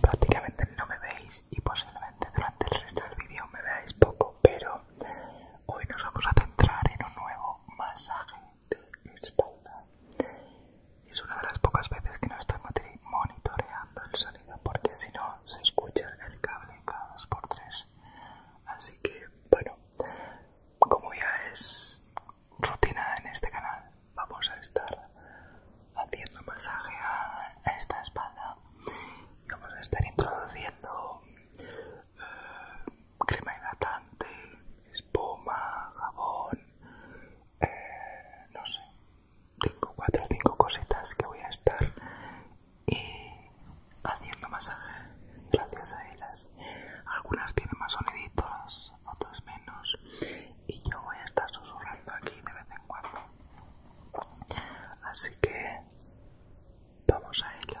Prácticamente no me veis y posiblemente durante el resto del vídeo me veáis poco, pero hoy nos vamos a centrar en un nuevo masaje de espalda. Es una de las pocas veces que no estoy monitoreando el sonido porque si no se escucha el cable cada por tres. Así que, bueno, como ya es rutina en este canal. Vamos a estar haciendo masaje a esta espalda y vamos a estar introduciendo eh, crema hidratante, espuma, jabón, eh, no sé, tengo 4 o 5 cositas que voy a estar y haciendo masaje gracias a ellas algunas tienen más soniditos otras menos y yo voy a estar susurrando aquí de vez en cuando así que vamos a ello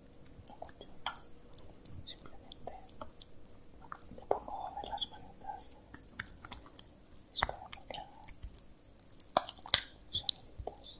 no cuchillo, simplemente le pongo de las manitas es para que queden soniditos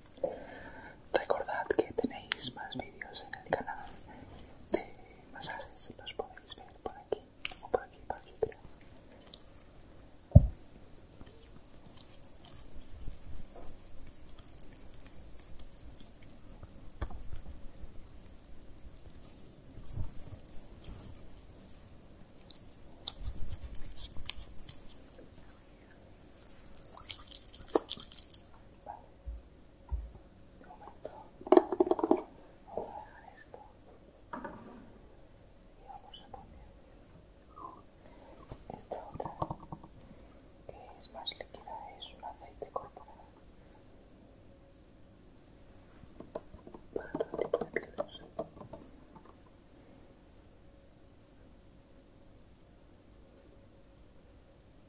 Recordad que tenéis más vídeos en el canal de masajes, los podéis ver por aquí o por aquí, por aquí de momento, vamos a dejar esto y vamos a poner esta otra que es más líquida, es un aceite corporal para todo tipo de pieles.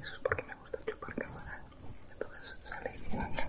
eso es porque me gusta chupar cámara. Entonces sale y en cámara.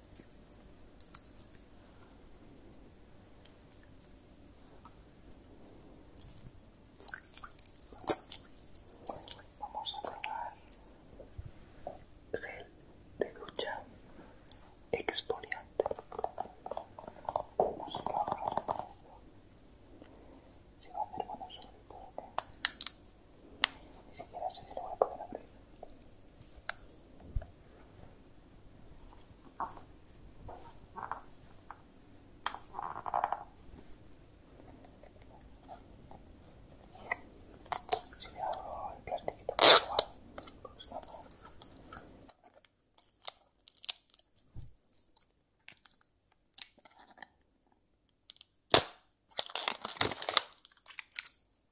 Vamos a probar gel de ducha exfoliante. Vamos a probar. Se va a hacer bueno sobre todo. Ni siquiera sé si lo voy a poder abrir. Si le hago el plastiquito, pues igual, porque está mal.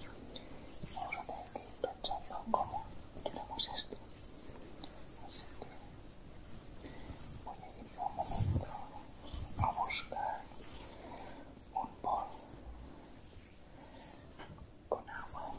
Juuri pensando cómo queremos esto. Así que voy a ir un momento a buscar un bol con agua.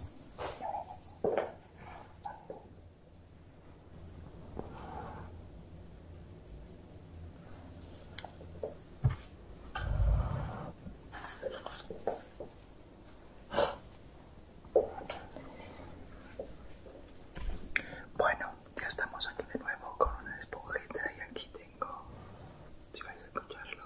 Bueno, ya estamos aquí de nuevo con una esponjita y aquí tengo, si vais a escucharlo,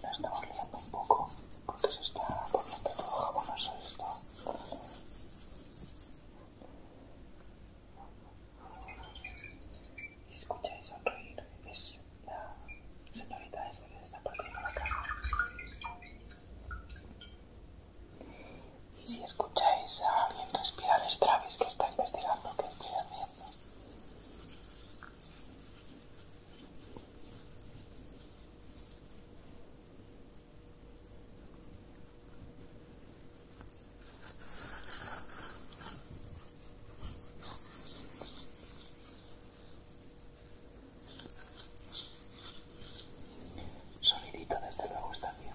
La estamos liando un poco porque se está poniendo todo jabonoso esto. Si escucháis sonreír, es la señorita esta que se está perdiendo la casa. Y si escucháis a alguien respirar, es Travis que está investigando qué está haciendo. Sonidito desde luego está bien.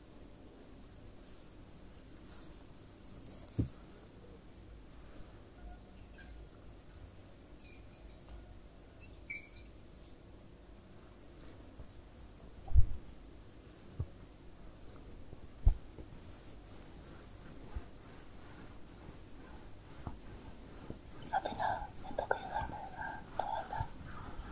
Al nada, me toca ayudarme de la todavía.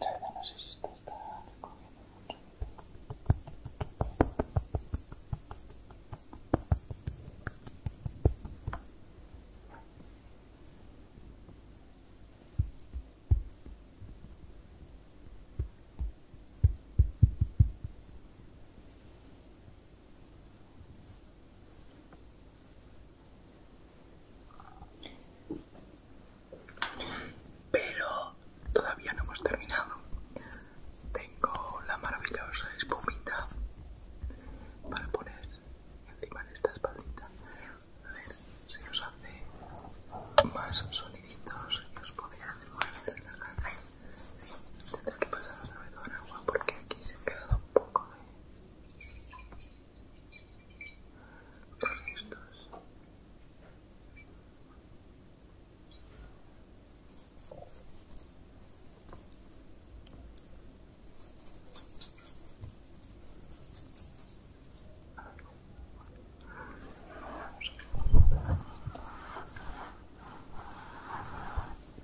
En no sé si está recogiendo mucho. Pero todavía no hemos terminado. Tengo la maravillosa espumita para poner encima de esta espaldita. A ver si nos hace más soniditos y os podéis relajar. Tendré que pasar otra vez con agua porque aquí se queda un poco de qué estás?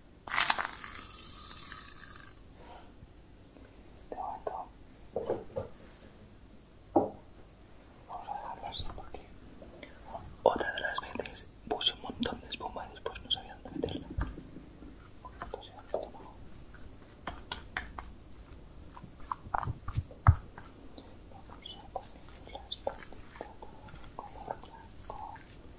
De momento vamos a dejarlo así porque otra de las veces puse un montón de espuma y después no sabía dónde meterla. Pues vamos a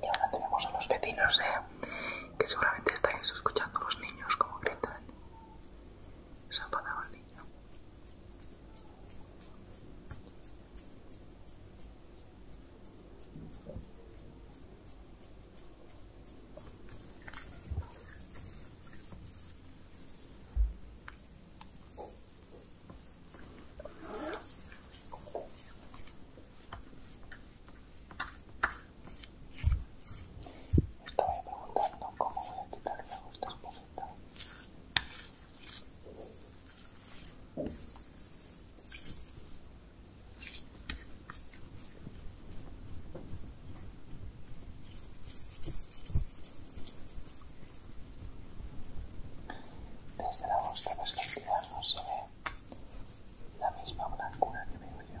Y ahora tenemos a los vecinos, ¿eh? que seguramente están escuchando los niños como gritan. Se enfadaba el niño. Estaba preguntando cómo voy a quitar a vuestra esta Desde la vuestra perspectiva no se ve la misma blancura que veo yo.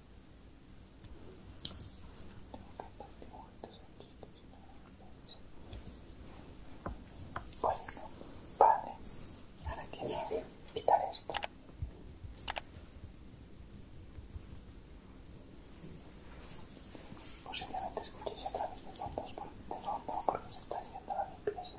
Bueno, vale. Ahora quiero quitar esto. Posiblemente escuchéis a través de fondos de fondo porque se está haciendo la limpieza.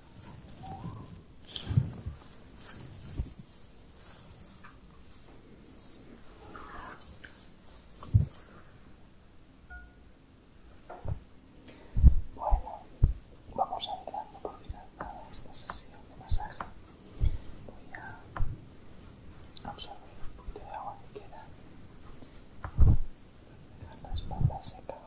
Bueno, vamos a entrar por a esta sesión de masaje. Voy a absorber un poquito de agua que queda, dejar la espalda seca.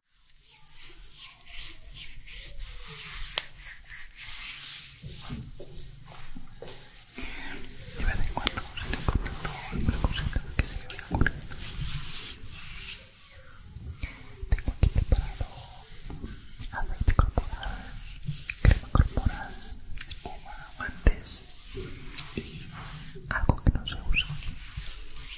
De vez en cuando se le contestó alguna cosita que se va a ocurrido. Tengo aquí preparado aceite corporal, crema corporal, espuma, guantes y algo que no se usa.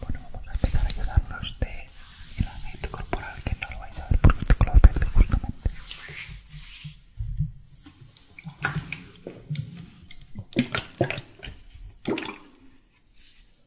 Bueno, vamos a empezar a ayudarnos de el ambiente corporal que no lo vais a ver porque este color justamente.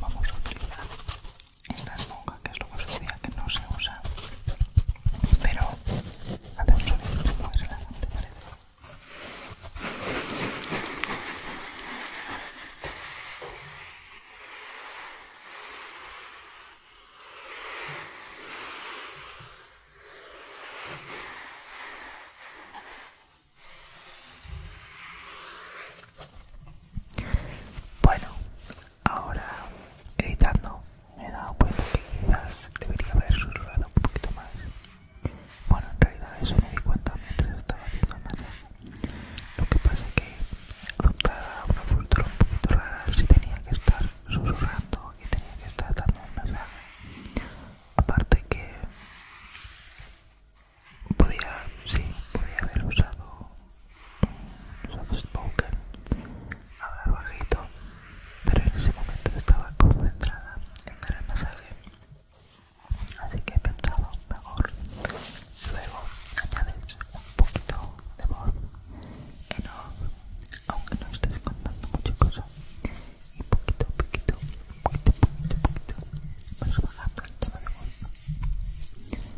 Vamos a utilizar esta esponja que es lo que decía que no se usa, pero hace un sonido muy relajante, parece. ¿eh? Bueno, ahora editando me he dado cuenta que quizás debería haber surgido un poquito más. Bueno, en realidad eso me di cuenta mientras estaba haciendo lo que pasa es que adoptar una cultura un poquito rara si tenía que estar susurrando y tenía que estar dando un mensaje. Aparte que podía, sí, podía haber usado soft spoken, hablar bajito, pero en ese momento estaba concentrada en dar el masaje así que he pensado mejor luego añades un poquito de voz no, aunque no estés contando mucha cosa y poquito a poquito poquito poquito poquito vas bajando el de voz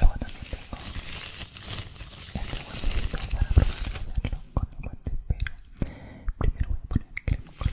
Luego también tengo este guantecito para probarlo con el guante, pero primero voy a poner crema con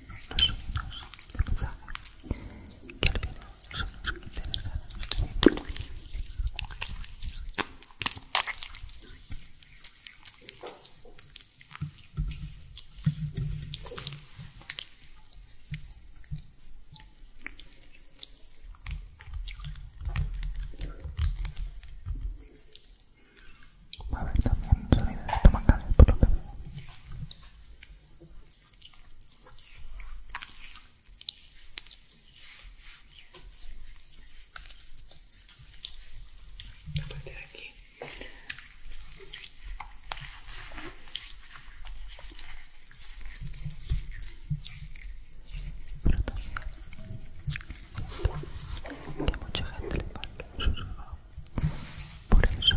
los sueños de mensaje que al final son los que que Va a haber también sonido de por lo que veo a partir de aquí que mucha gente le falta susurrado por eso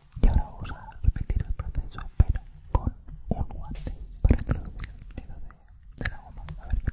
Y ahora vamos a repetir el proceso, pero con un guante para introducir el nido de, la goma. A ver qué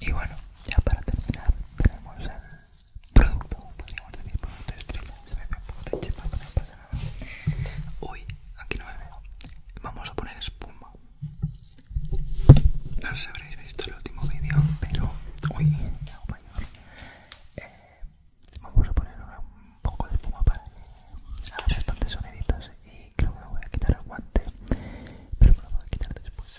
Y bueno, ya para terminar tenemos el producto, podríamos decir producto estrella, se ve un poco de chepa, pero no pasa nada. Uy, aquí no me veo. Vamos a poner espuma. No sé si habréis visto el último vídeo, pero... Uy, me hago mayor. Eh, Vamos a poner ahora un poco de espuma para hacer tantas bastantes y creo que voy a quitar el guante, pero me lo voy a quitar después.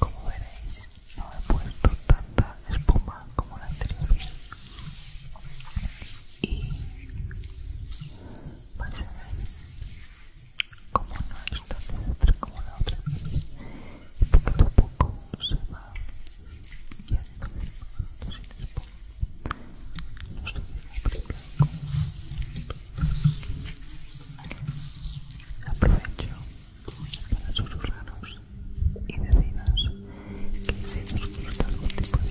Como veréis, no he puesto tanta espuma como la anterior y vais a ver como no es tan desastre como la otra vez, poquito se va Aprovecho para susurraros y deciros que si nos gusta algún tipo de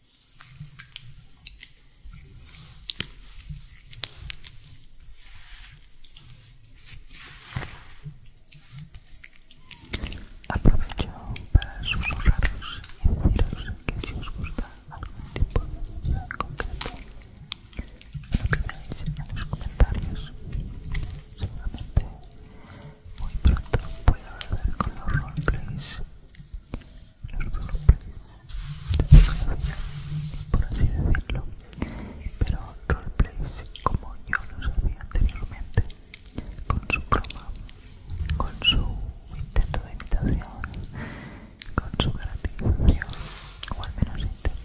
Aprovecho para susurraros y deciros que si os gusta algún tipo de contenido, en concreto, me lo en los comentarios. Seguramente muy pronto voy a volver con los roleplays por así decirlo pero roleplays como yo los hacía anteriormente con su croma con su intento de imitación con su gratificación o al menos intento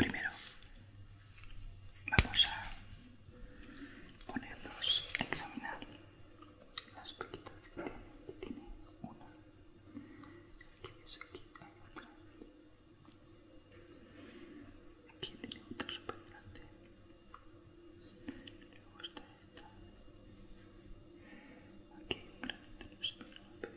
Primero vamos a ponernos a examinar las pelitas que tiene. Tiene una, aquí ves aquí, hay otra. Aquí tiene otra super grande. Luego esta. Aquí hay un granito, no pero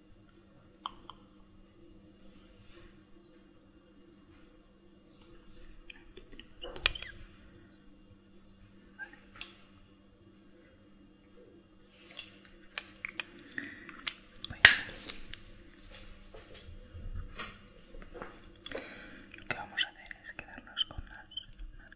Lo que vamos a hacer es quedarnos con las marcas de cada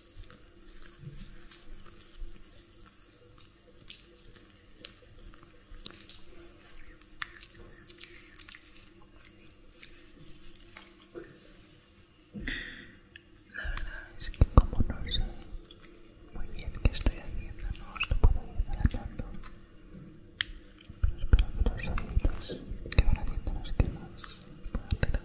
La verdad es que como no sé muy bien qué estoy haciendo, no os lo puedo ir adelantando. Pero espero que los amigos que van haciendo las quemas puedan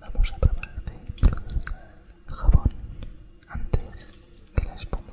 Vamos a probar jabón antes que la espuma.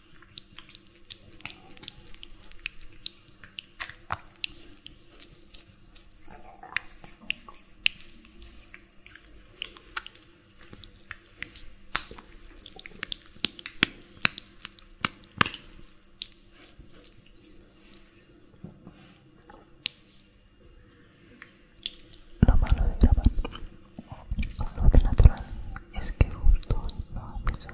Lo malo de grabar con luz natural es que justo no hace sol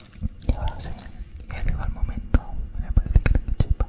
Y ahora sí, ya llegó el momento. Me parece que tengo chipa.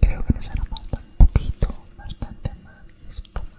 Creo que nos hará falta un poquito, bastante más espuma.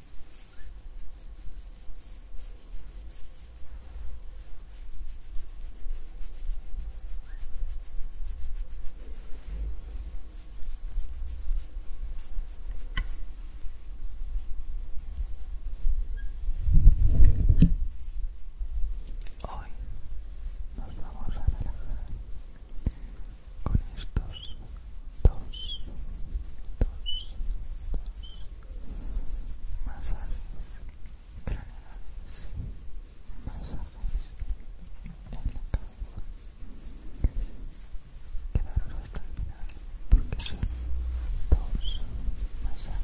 Hoy nos vamos a relajar con estos dos, dos, dos, dos masajes más masajes en la cabeza. Quedaros hasta el final porque son dos masajes.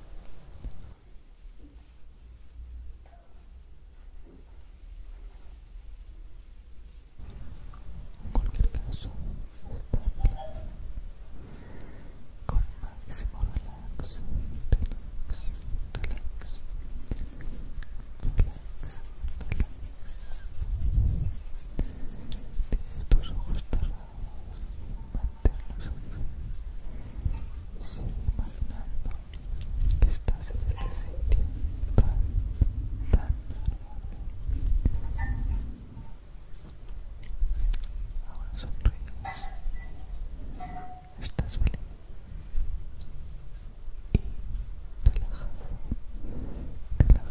En cualquier caso, Con máximo relax, relax, relax, relax, relax. Tienes tus ojos cerrados, imaginando que estás en este sitio tan, tan agradable. Ahora sonríes, estás feliz y relajado, relajado, relajado.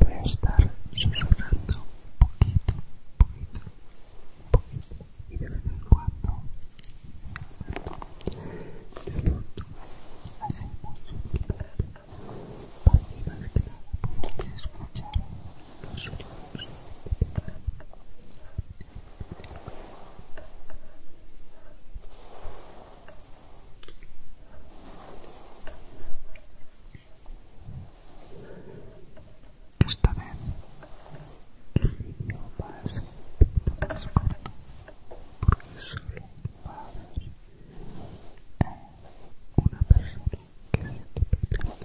Voy a estar susurrando un poquito, un poquito, un poquito y de vez en cuando de pronto hace mucho que para que más que nada escuchar los sonidos de mi esta vez no va a ser un poquito más corto porque solo va a haber eh, una persona que se esté pintando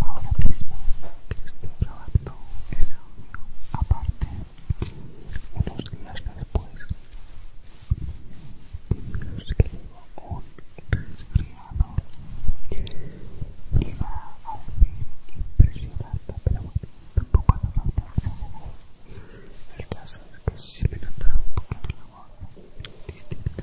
ahora mismo que estoy grabando el audio aparte unos días después digamos que llevo un resfriado iba a decir impresionante pero bueno tampoco hace falta exagerar el caso es que sí me notaba un poquito la voz distinta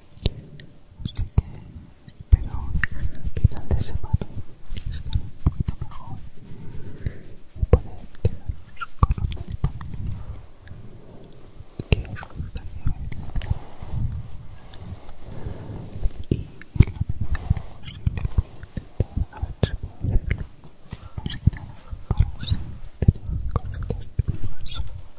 Así que espero que final de semana estar un poquito mejor y poder dejaros con los medicamentos que os gustaría ver. Y en la medida de lo posible voy a intentar a ver si puedo hacerlo. Más que pues, nada para así tener correctas primas